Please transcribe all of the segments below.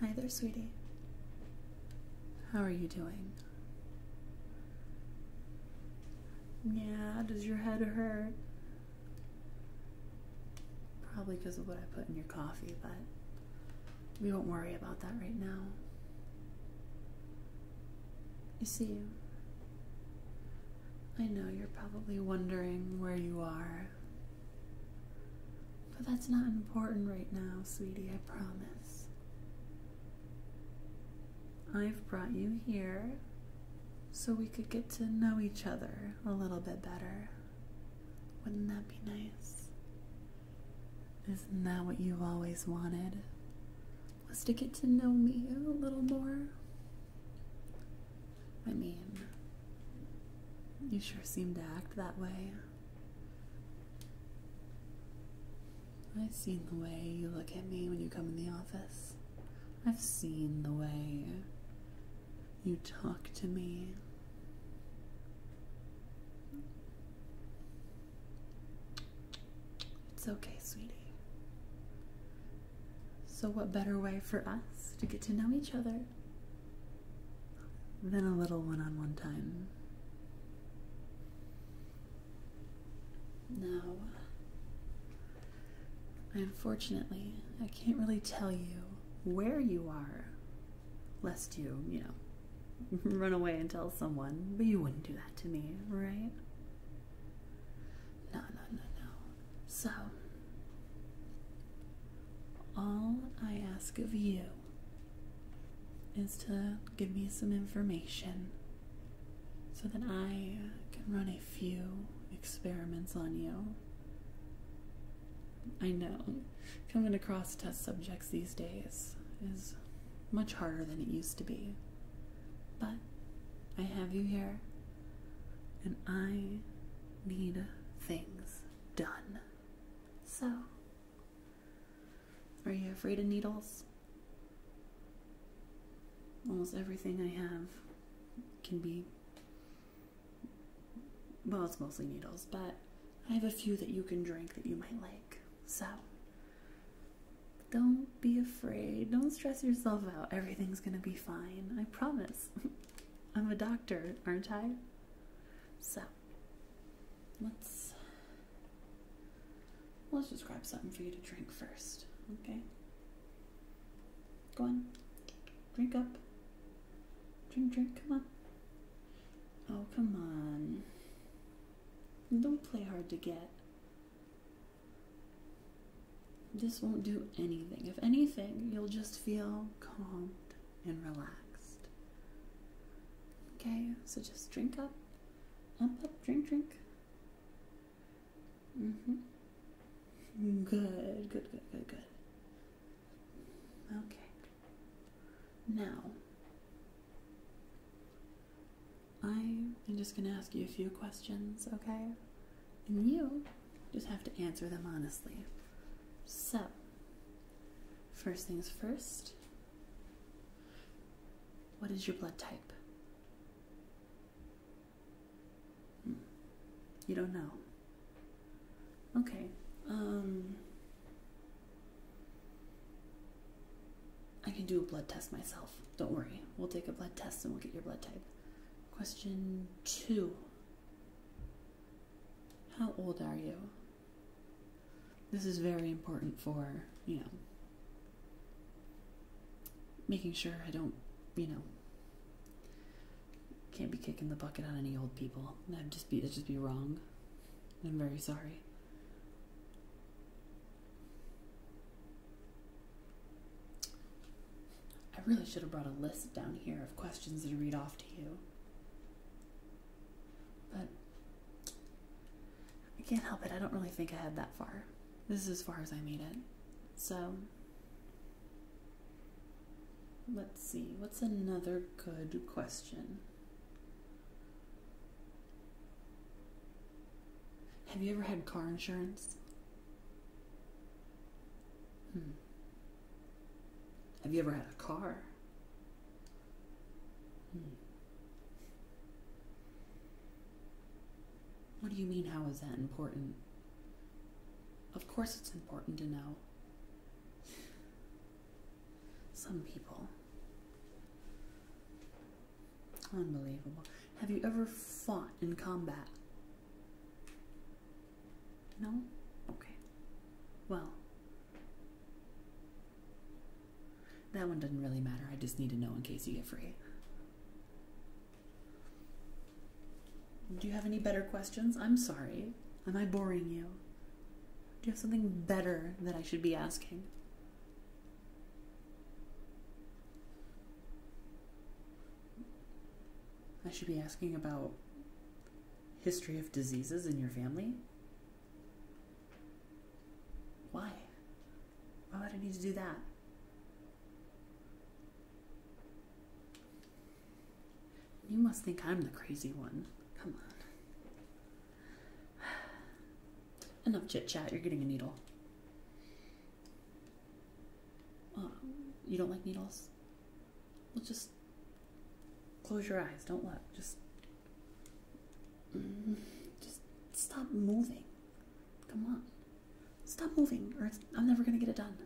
Hi there, sweetie. How are you doing? Yeah, does your head hurt? Probably because of what I put in your coffee, but we won't worry about that right now. You see, I know you're probably wondering where you are, but that's not important right now, sweetie, I promise. I've brought you here so we could get to know each other a little bit better. Wouldn't that be nice? Isn't that what you've always wanted? was to get to know me a little more. I mean, you sure seem to act that way. I've seen the way you look at me when you come in the office. I've seen the way you talk to me. It's okay, sweetie. So, what better way for us to get to know each other than a little one on one time? Now, unfortunately, I can't really tell you where you are, lest you, you know, run away and tell someone. But you wouldn't do that to me, right? No, no, no, no. So, all I ask of you is to give me some information so that I can run a few experiments on you. I know coming across test subjects these days is much harder than it used to be. But I have you here, and I need things done. So, are you afraid of needles? Almost everything I have can be. Well, it's mostly needles, but I have a few that you can drink that you might like. So don't be afraid. Don't stress yourself out. Everything's going to be fine. I promise. I'm a doctor, aren't I? So let's let's just grab something for you to drink first, okay? Go on. Drink up. Drink, drink, come on. Oh, come on don't play hard to get. This won't do anything. If anything, you'll just feel calmed and relaxed. Okay, so just drink up, pump up, drink, drink. hmm Good, good, good, good, good. Okay. Now, I'm just going to ask you a few questions, okay? And you just have to answer them honestly. So, first things first, what is your blood type? Hmm. You don't know. Okay. Um I can do a blood test myself. Don't worry. We'll take a blood test and we'll get your blood type. Question two How old are you? This is very important for, you know, making sure I don't, you know, can't be kicking the bucket on any old people. That'd just be, that'd just be wrong. I'm very sorry. I really should have brought a list down here of questions to read off to you. But I can't help it. I don't really think I had that far. This is as far as I made it. So Let's see, what's another good question? Have you ever had car insurance? Hmm. Have you ever had a car? Hmm. What do you mean, how is that important? Of course, it's important to know. Some people. Unbelievable. Have you ever fought in combat? No? Okay. Well, that one doesn't really matter. I just need to know in case you get free. Do you have any better questions? I'm sorry. Am I boring you? Do you have something better that I should be asking? I should be asking about history of diseases in your family? Why? Why would I need to do that? You must think I'm the crazy one. Come on. Enough chit chat, you're getting a needle. you don't like needles? We'll just close your eyes. Don't look. Just. Mm, just stop moving. Come on. Stop moving, or I'm never gonna get it done.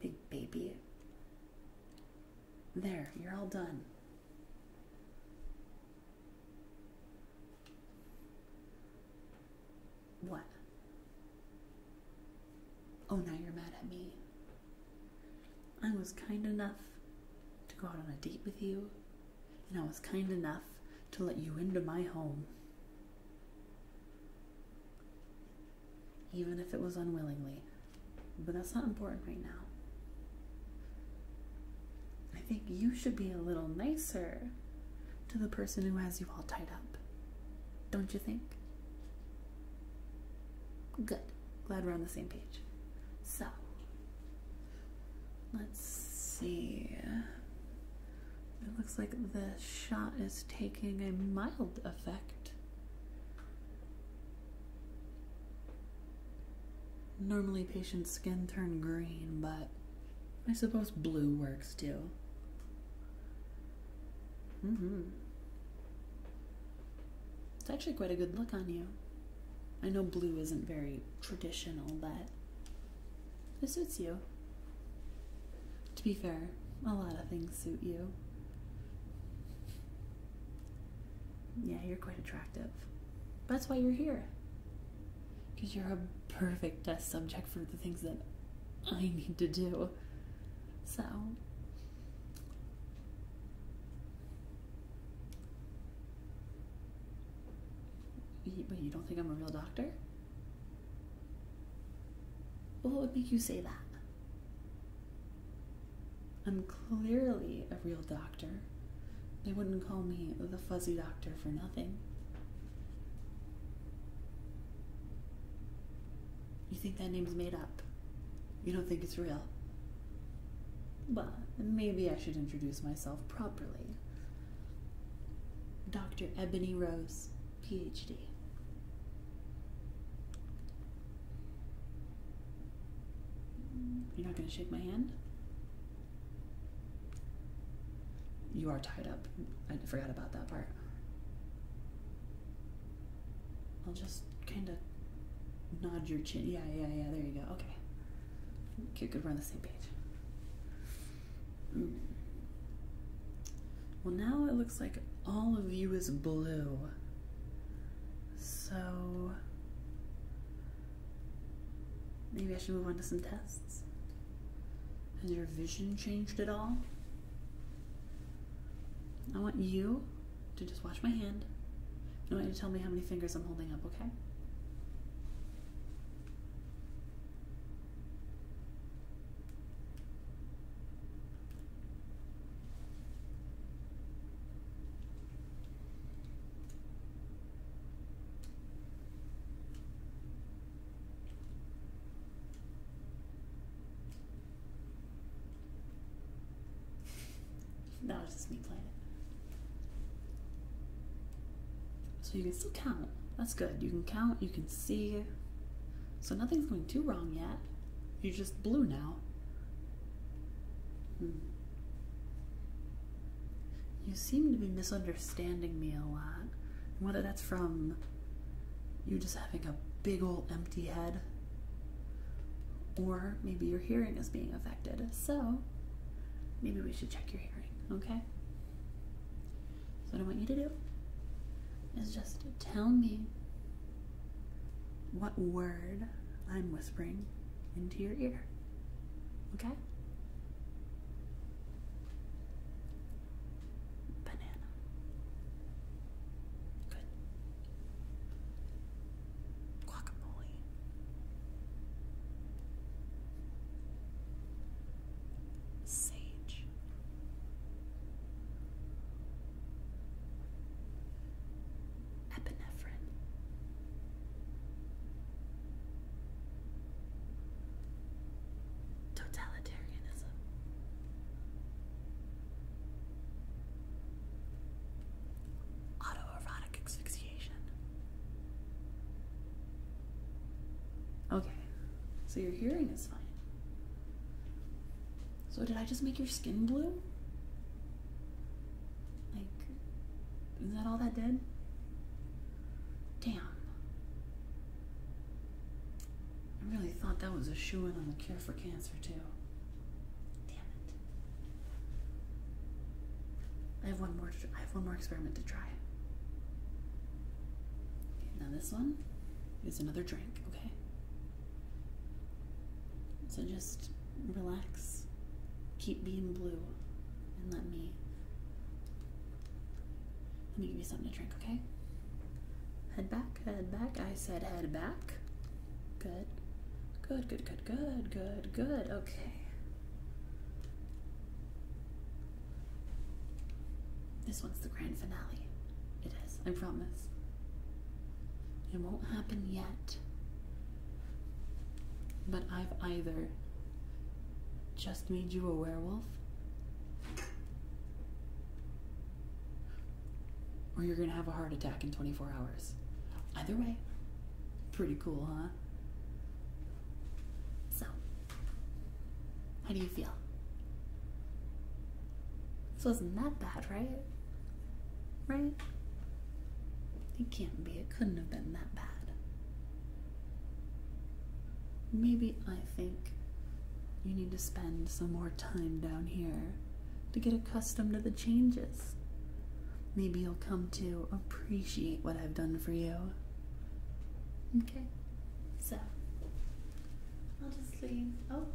Big baby. There, you're all done. What? Oh, now you're mad at me. I was kind enough to go out on a date with you, and I was kind enough to let you into my home even if it was unwillingly. But that's not important right now. I think you should be a little nicer to the person who has you all tied up. Don't you think? Good. Glad we're on the same page. So, let's see. It looks like the shot is taking a mild effect. Normally, patients' skin turn green, but I suppose blue works too. Mm-hmm. It's actually quite a good look on you. I know blue isn't very traditional, but this suits you. To be fair, a lot of things suit you. Yeah, you're quite attractive. That's why you're here. Because you're a perfect test subject for the things that I need to do. So. But you don't think I'm a real doctor? What would make you say that? I'm clearly a real doctor. They wouldn't call me the fuzzy doctor for nothing. You think that name's made up? You don't think it's real? Well, maybe I should introduce myself properly Dr. Ebony Rose, PhD. You're not going to shake my hand? You are tied up. I forgot about that part. I'll just kind of nod your chin. Yeah, yeah, yeah, there you go. Okay. Okay, we're on the same page. Well, now it looks like all of you is blue. So maybe I should move on to some tests. Has your vision changed at all? I want you to just wash my hand. I want you to tell me how many fingers I'm holding up, okay? No, was just me playing so you can still count. That's good. You can count, you can see. So nothing's going too wrong yet. You're just blue now. Hmm. You seem to be misunderstanding me a lot. whether that's from you just having a big old empty head, or maybe your hearing is being affected. So maybe we should check your hearing, okay? So, what I want you to do is just tell me what word I'm whispering into your ear. Okay? Banana. Good. Guacamole. Sage. Epinephrine. Totalitarianism. Autoerotic asphyxiation. Okay, so your hearing is fine. So, did I just make your skin blue? Like, is that all that did? Damn. I really thought that was a shoe in on the cure for cancer, too. Damn it. I have one more. I have one more experiment to try. now this one is another drink. Okay. So just relax, keep being blue, and let me let me give you something to drink. Okay. Head back, head back. I said head back. Good. Good, good, good, good, good, good. Okay. This one's the grand finale. It is, I promise. It won't happen yet. But I've either just made you a werewolf, or you're gonna have a heart attack in 24 hours. Either way, pretty cool, huh? So, how do you feel? This wasn't that bad, right? Right? It can't be, it couldn't have been that bad. Maybe I think you need to spend some more time down here to get accustomed to the changes. Maybe you'll come to appreciate what I've done for you. Okay, so I'll just leave. Oh,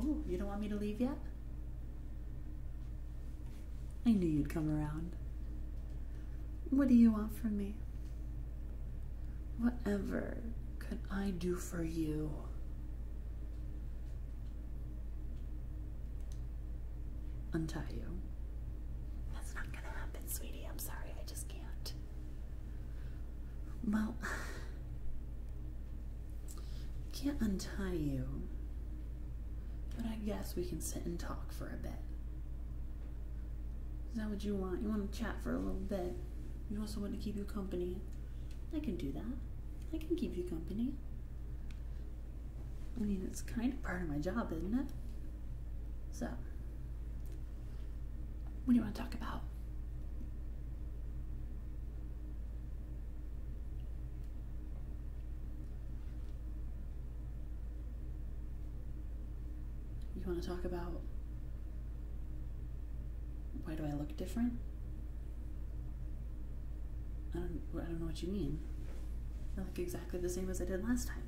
oh, you don't want me to leave yet? I knew you'd come around. What do you want from me? Whatever could I do for you? untie you. That's not gonna happen, sweetie. I'm sorry, I just can't. Well, can't untie you, but I guess we can sit and talk for a bit. Is that what you want? You want to chat for a little bit? You also want to keep you company? I can do that. I can keep you company. I mean, it's kind of part of my job, isn't it? So, what do you want to talk about? You want to talk about why do I look different? I don't, I don't know what you mean. I look exactly the same as I did last time.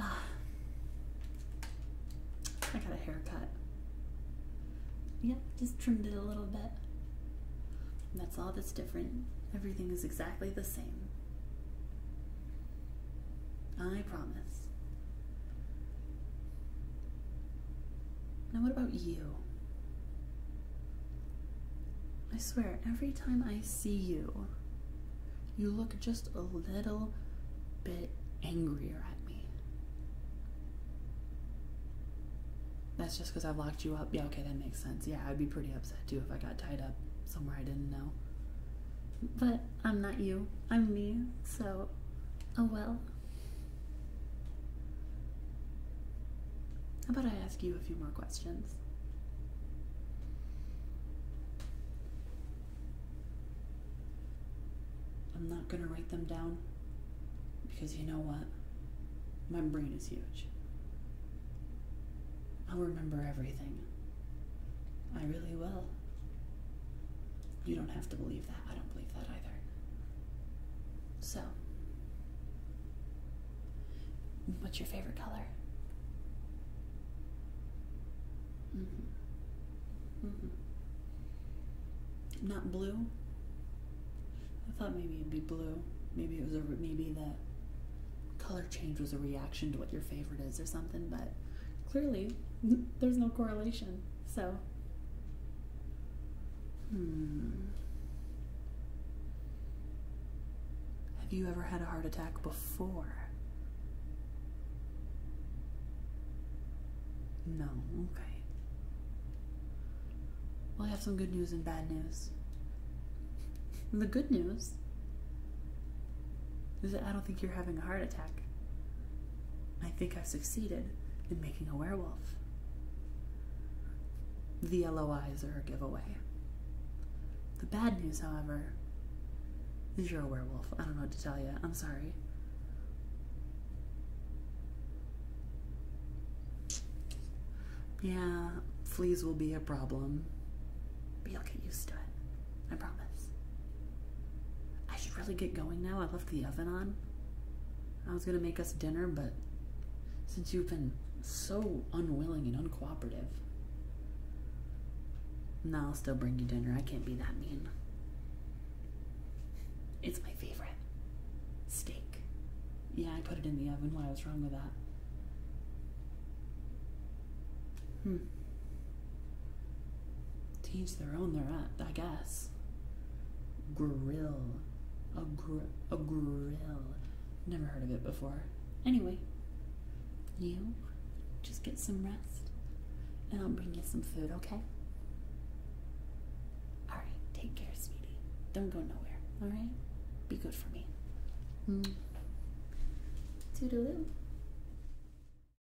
Ah. I got a haircut. Yep, just trimmed it a little bit. that's all that's different. Everything is exactly the same. I promise. Now, what about you? I swear, every time I see you, you look just a little bit angrier at me. That's just because I've locked you up. Yeah, okay, that makes sense. Yeah, I'd be pretty upset too if I got tied up somewhere I didn't know. But I'm not you, I'm me, so oh well. How about I ask you a few more questions? I'm not going to write them down because you know what? My brain is huge. I'll remember everything. I really will. You don't have to believe that. I don't believe that either. So, what's your favorite color? Mm-hmm. Mm-hmm. Not blue. I thought maybe it'd be blue. Maybe it was a maybe the color change was a reaction to what your favorite is or something. But clearly, there's no correlation. So, hmm. Have you ever had a heart attack before? No, okay. Well, I have some good news and bad news. the good news is that I don't think you're having a heart attack. I think I've succeeded in making a werewolf. The yellow eyes are a giveaway. The bad news, however, is you're a werewolf. I don't know what to tell you. I'm sorry. Yeah, fleas will be a problem, but you'll get used to it. I promise. I should really get going now. I left the oven on. I was going to make us dinner, but since you've been so unwilling and uncooperative, no, I'll still bring you dinner. I can't be that mean. It's my favorite. Steak. Yeah, I put it in the oven. Why was wrong with that? Hmm. Teach their own, their at I guess. Grill. A, gr- a grill. Never heard of it before. Anyway, you just get some rest and I'll bring you some food, okay? Alright, take care, sweetie. Don't go nowhere, alright? Be good for me. Mm. Toodaloo.